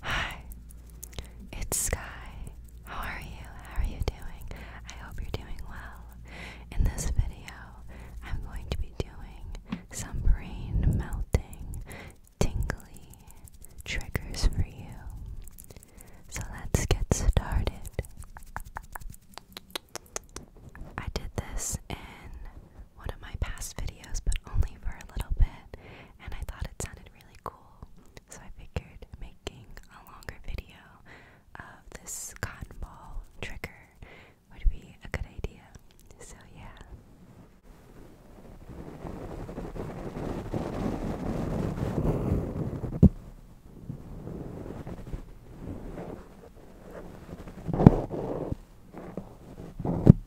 Hi, it's Sky. How are you? How are you doing? I hope you're doing well. In this video, I'm going to be doing some brain melting, tingly triggers for you. So let's get started. I did this in one of my past videos, but only for a little bit, and I thought it sounded really cool. So I figured making a longer video of this cotton ball trigger would be a good idea. So, yeah.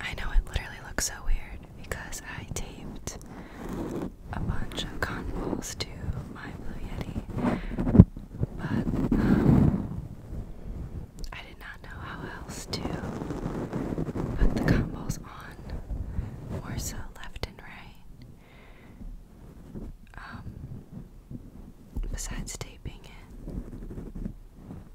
I know it literally looks so weird because I taped a bunch of convols to my Blue Yeti, but um, I did not know how else to put the convols on, more so left and right, um, besides taping it.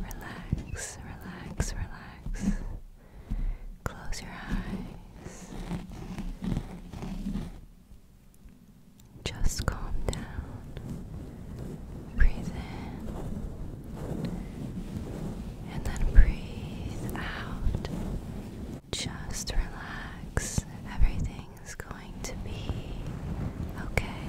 Relax, relax, relax. Close your eyes. Just calm down. Breathe in and then breathe out. Just relax. Everything's going to be okay.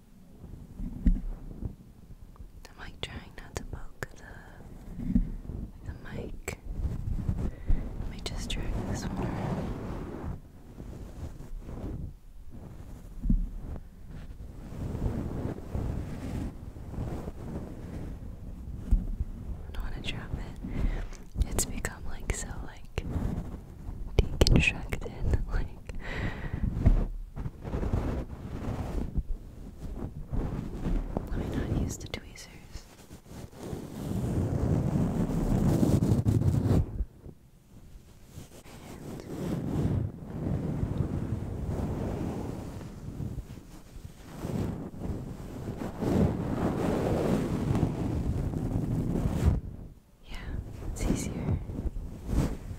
I'm like trying not to poke the the mic. Let me just drag this one around. I don't want to drop it. It's become like so like deconstructed, like let me not use the tweezers. yeah, it's easier.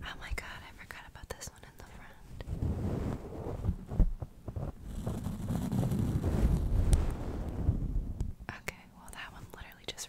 Oh my god, I forgot about this one in the front. Okay, well that one literally just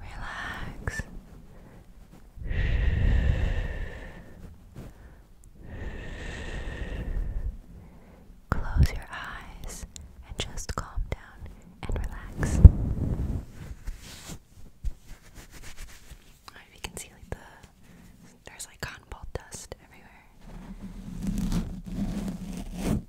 relax. Close your eyes and just calm down and relax. Right, you can see like the there's like cotton ball dust everywhere.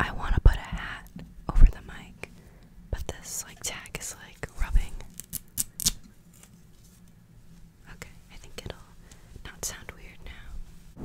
I want to put a hat over the mic but this like tag is like rubbing. Okay, I think it'll not sound weird now.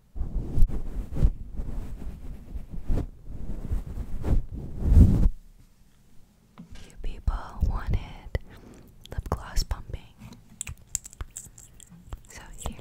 You people wanted lip gloss pumping. So here.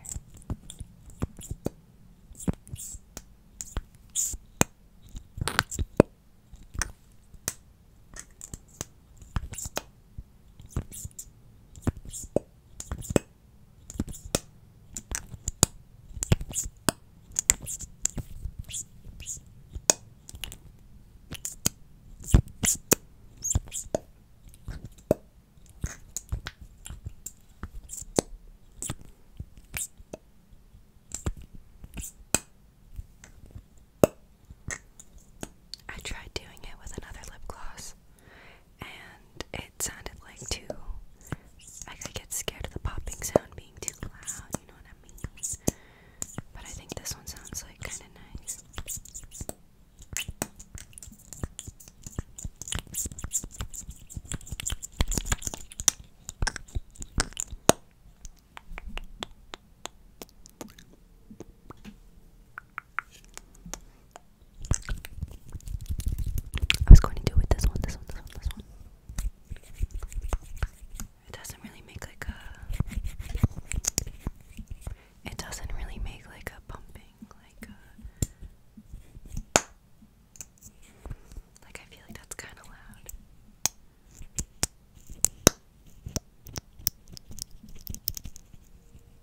I tried doing it with another lip gloss and it sounded like too. Like I get scared of the popping sound being too loud, you know what I mean? But I think this one sounds like kind of nice. I was going to do it this one, this one, this one, this one. It doesn't really make like a. It doesn't really make like a pumping, like a. Like I feel like that's kind of loud.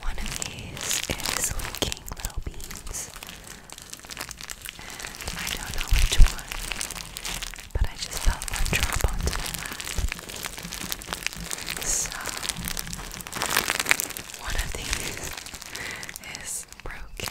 One of these is leaking little beans, and I don't know which one, but I just felt one drop onto my lap. So, one of these is broken.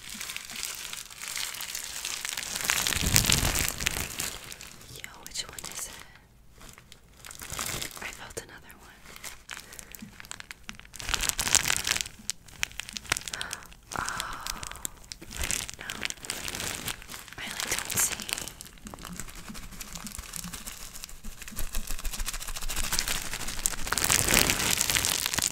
Yo, which one is it? I felt another one. Oh, no. I like don't see.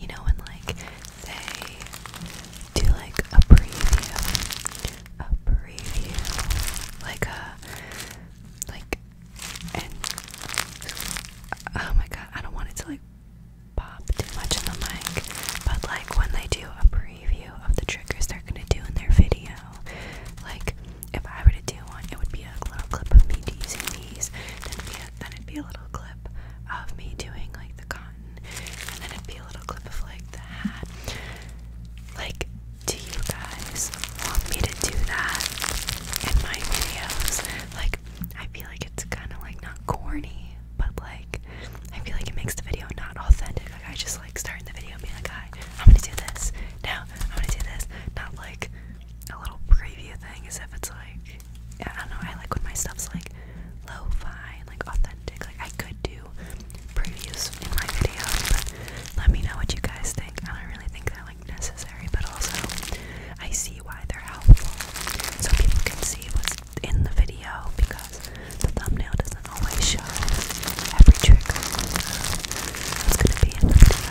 You know, and like they do like a preview, a preview, like a like, oh my god, I don't want it to like pop too much in the mic, but like when they do a preview of the triggers they're gonna do in their video, like if I were to do one, it would be a little clip of me using these, then then it'd be a little clip of me doing like the cotton, and then it'd be a little clip of like the hat. Like, do you guys want me to do that in my videos? Like, I feel like it's kind of like not corny, but like I feel like it makes the video not authentic. Like I just like starting the video being like, "Hi, I'm gonna do this now. I'm gonna do this." Not like a little preview thing, as if it's like yeah, I don't know. I like when my stuff's like low fi like authentic. Like I could do previews in my videos, but let me know what you guys think. I don't really think that necessary, but also I see why they're helpful. So people can see what's in the video because the thumbnail doesn't always show every trick that's gonna be in the video.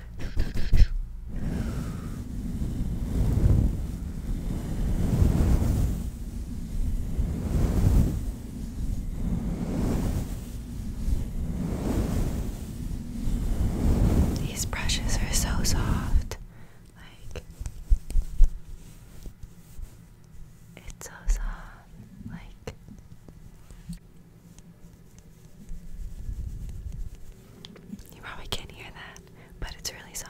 these brushes are so soft. Like it's so soft. Like you probably can't hear that, but it's really soft.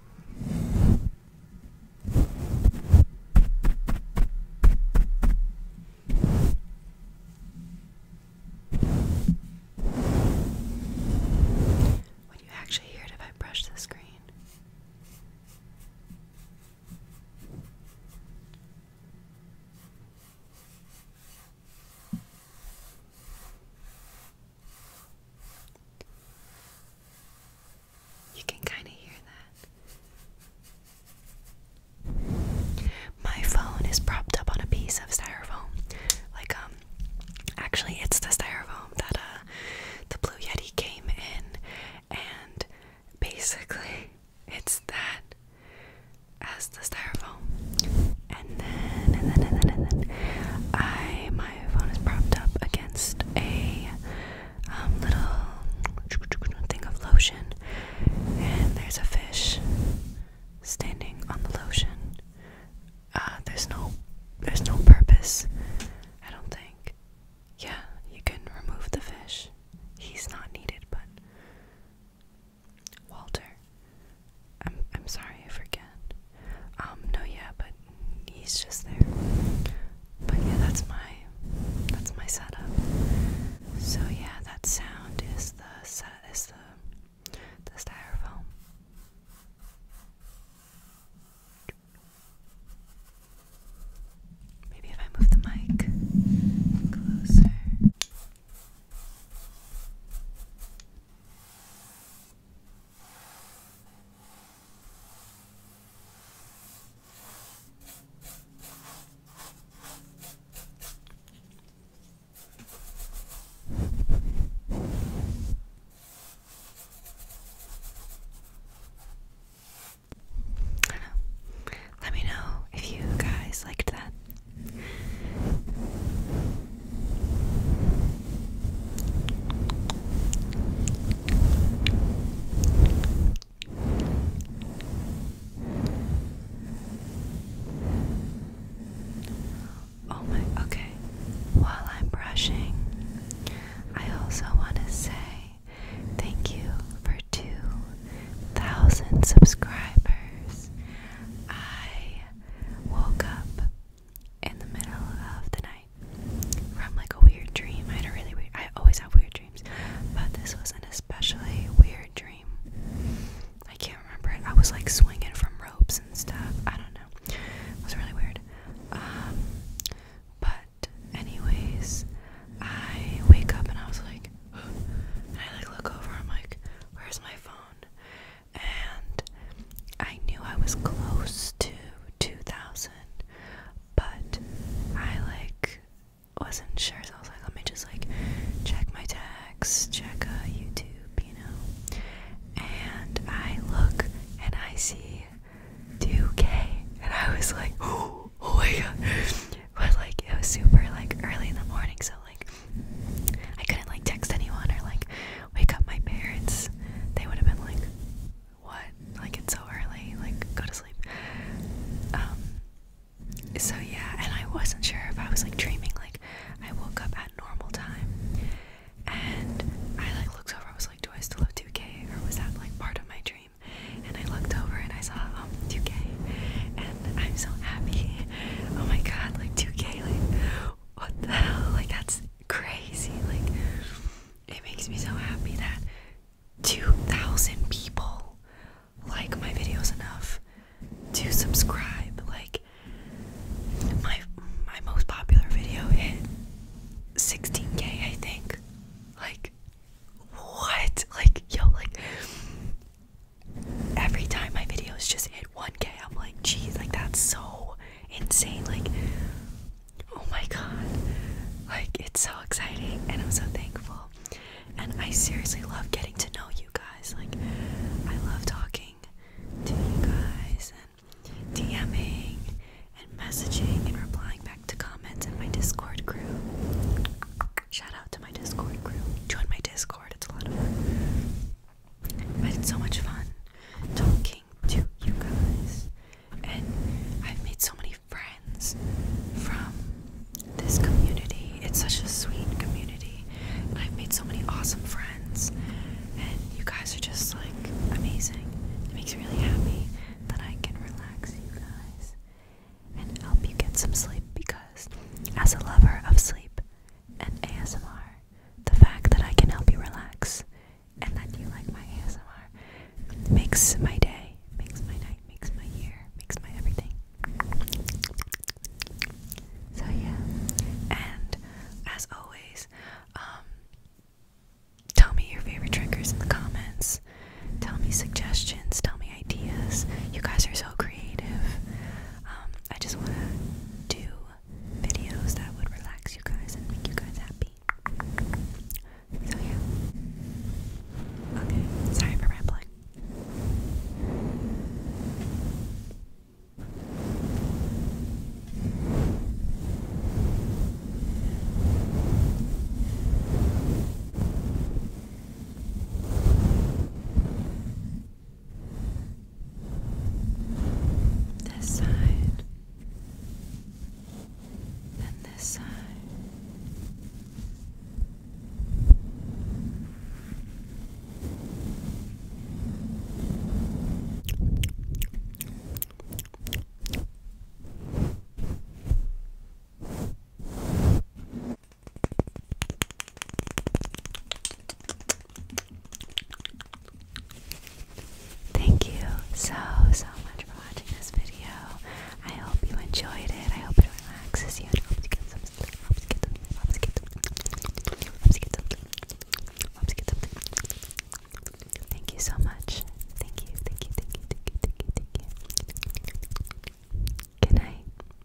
Would you actually hear it if I brush the screen? You can kind of hear that. My phone is propped up on a piece of styrofoam. Like, um, actually, it's the styrofoam that, uh, the Blue Yeti came in, and basically, it's that as the styrofoam and then and then and then and then I my phone is propped up against a um, little thing of lotion, and there's a fish standing on the lotion. Uh, there's no there's no purpose, I don't think. Yeah, you can remove the fish. He's not needed, but Walter. I'm I'm sorry, I forget. Um, no, yeah, but he's just there. But yeah, that's my that's my setup. So yeah, that sound is the set is the the styrofoam. Maybe if I move the mic closer. Let me know if you guys liked that. Oh my, okay. While I'm brushing, I also want to say thank you for 2,000 subscribers. I woke up in the middle of the night from like a weird dream. I had a really weird, I always have weird dreams, but this was an especially weird dream. I can't remember it. I was like swinging from ropes and stuff. I don't know. It was really weird. Um, but anyways, I wake up and I was like, and I like look over. I'm like, where's my phone? and I knew I was close to 2,000, but I like wasn't sure, so I was like, let me just like check my tags, check uh, YouTube, you know. And I look and I see 2K, and I was like, oh my god! But like it was super like early in the morning, so like I couldn't like text anyone or like wake up my parents. They would have been like, "What? Like it's so early. Like go to sleep." Um. So yeah, and I wasn't sure if I was like dreaming. Like I woke up at normal time, and I like looked over. I was like, "Do I still have 2K, or was that like part of my dream?" And I looked over and I saw um 2K, and I'm so happy. Oh my god, like 2K, like what the hell? Like, that's crazy. Like, it makes me so happy that 2,000 people like my videos enough to subscribe. Like, my my most popular video hit 16k, I think. Like, what? Like, yo, like, every time my videos just hit 1k, I'm like, geez, like that's so insane. Like, oh my god, like it's so exciting, and I'm so thankful. And I seriously love getting to know you guys. Like, I love talking to you guys and DMing and messaging and replying back to comments in my Discord group. Shout out to my Discord group. Join my Discord, it's a lot of fun. But it's so much fun talking to you guys. And I've made so many friends from this community. It's such a sweet community. I've made so many awesome friends. And you guys are just like amazing. It makes me really happy that I can relax you guys and help you get some sleep because, as a lover of sleep, and ASMR, the fact that I can help you relax and that you like my ASMR makes my day, makes my night, makes my year, makes my everything. So, yeah. And as always, um, tell me your favorite triggers in the comments. Tell me suggestions. Tell me ideas. You guys are so creative. Um, I just want to do videos that would relax you guys and make you guys happy. So, yeah. Okay, sorry for rambling. This side, then this side. Thank you so, so much for watching this video. I hope you enjoyed it. I hope it relaxes you and helps you get some sleep. Helps you get some sleep. Helps you get some sleep. Helps you get some sleep. Helps you get some sleep. Thank you so much. Thank you, thank you, thank you, thank you, thank you, thank you. Good night.